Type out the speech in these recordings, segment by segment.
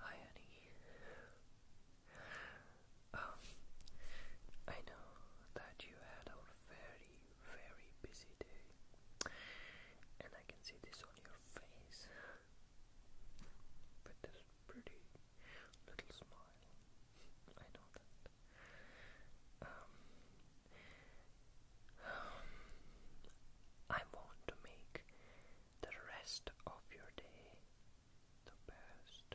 Hi, honey. Um, I know that you had a very, very busy day, and I can see this on your face with this pretty little smile. I know that. Um, um, I want to make the rest of your day the best.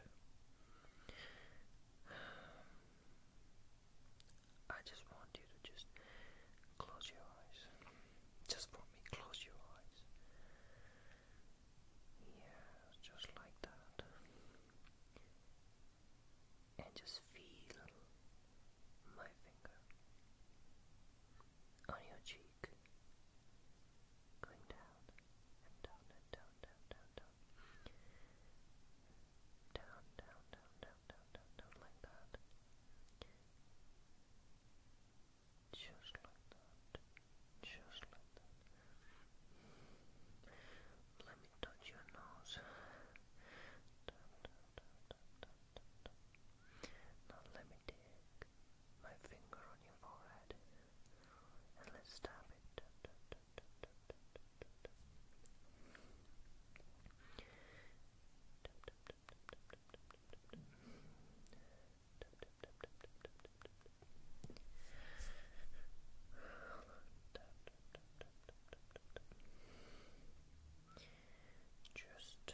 I just want you to just close your eyes. Just for me, close your eyes. Yeah, just like that. And just feel my finger on your cheek cheek. Going down and down down, down, down, down. Down, down, down, down, down, down, down, like that. Just like that. Just like that. Let me touch your nose. Now let me dig my finger on your forehead and let's tap it. Just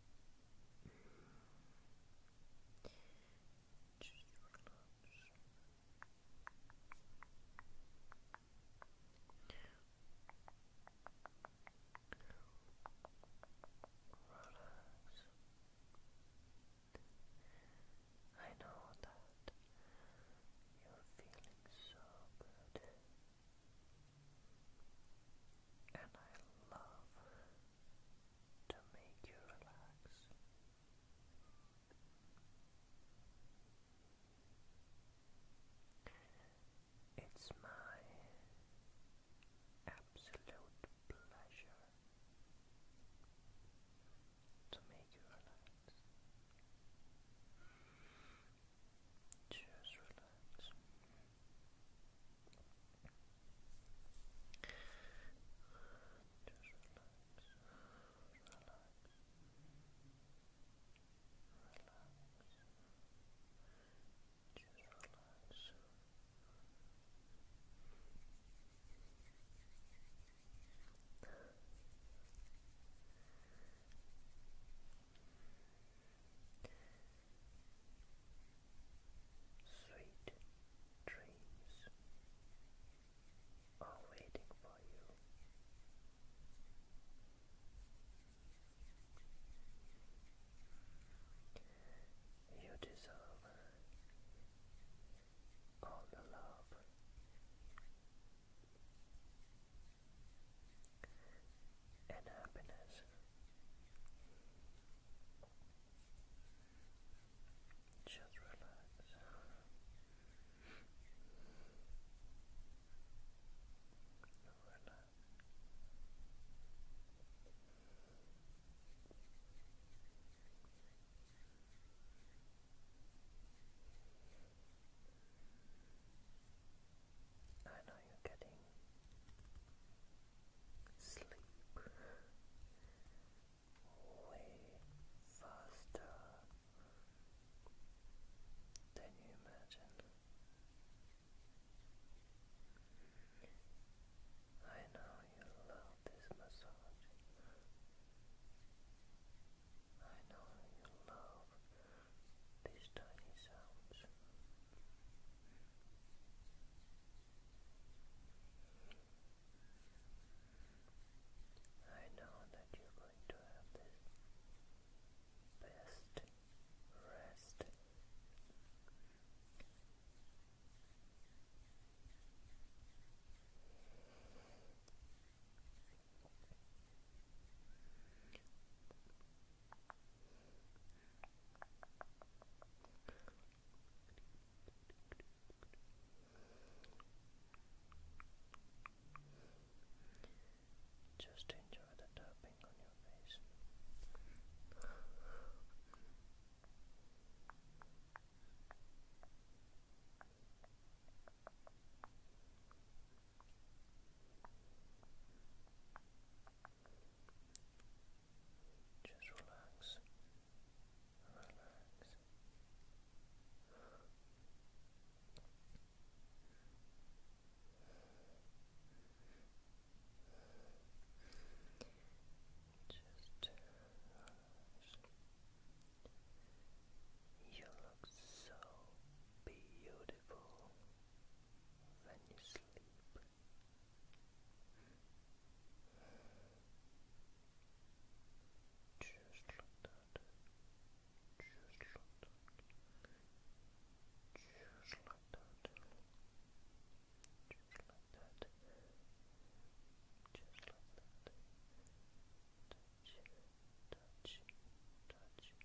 Just I know that you're feeling so good. And I love to make you relax. It's my absolute pleasure to make you relax. Just relax. Just relax. Relax. Relax. Just relax. Sweet dreams are waiting for you. You deserve all the love and happiness. Just relax. relax. Relax. I know you're getting sleep way faster than you imagine. I know you love this massage. I know you love these tiny sounds. I know that you're going to have the best rest. Just enjoy the tapping on your face. Just relax, relax. Just relax. You look so beautiful than you sleep. Just like that. Just like that. Just like that. Just like that. Just like that. Touch, touch, touch,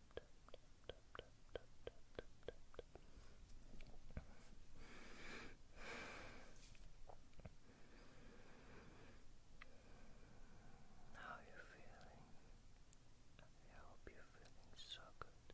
How you feeling? I hope you feeling so good.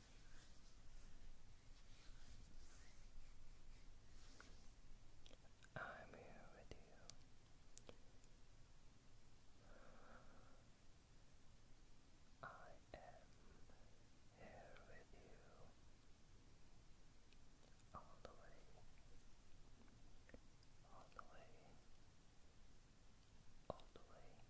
I'm here with you. I am here with you all the way, all the way, all the way.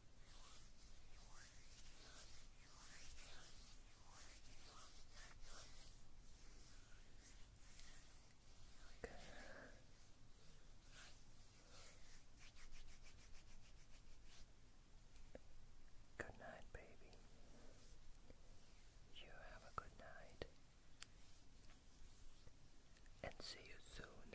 Good night, baby. You have a good night. And see you soon.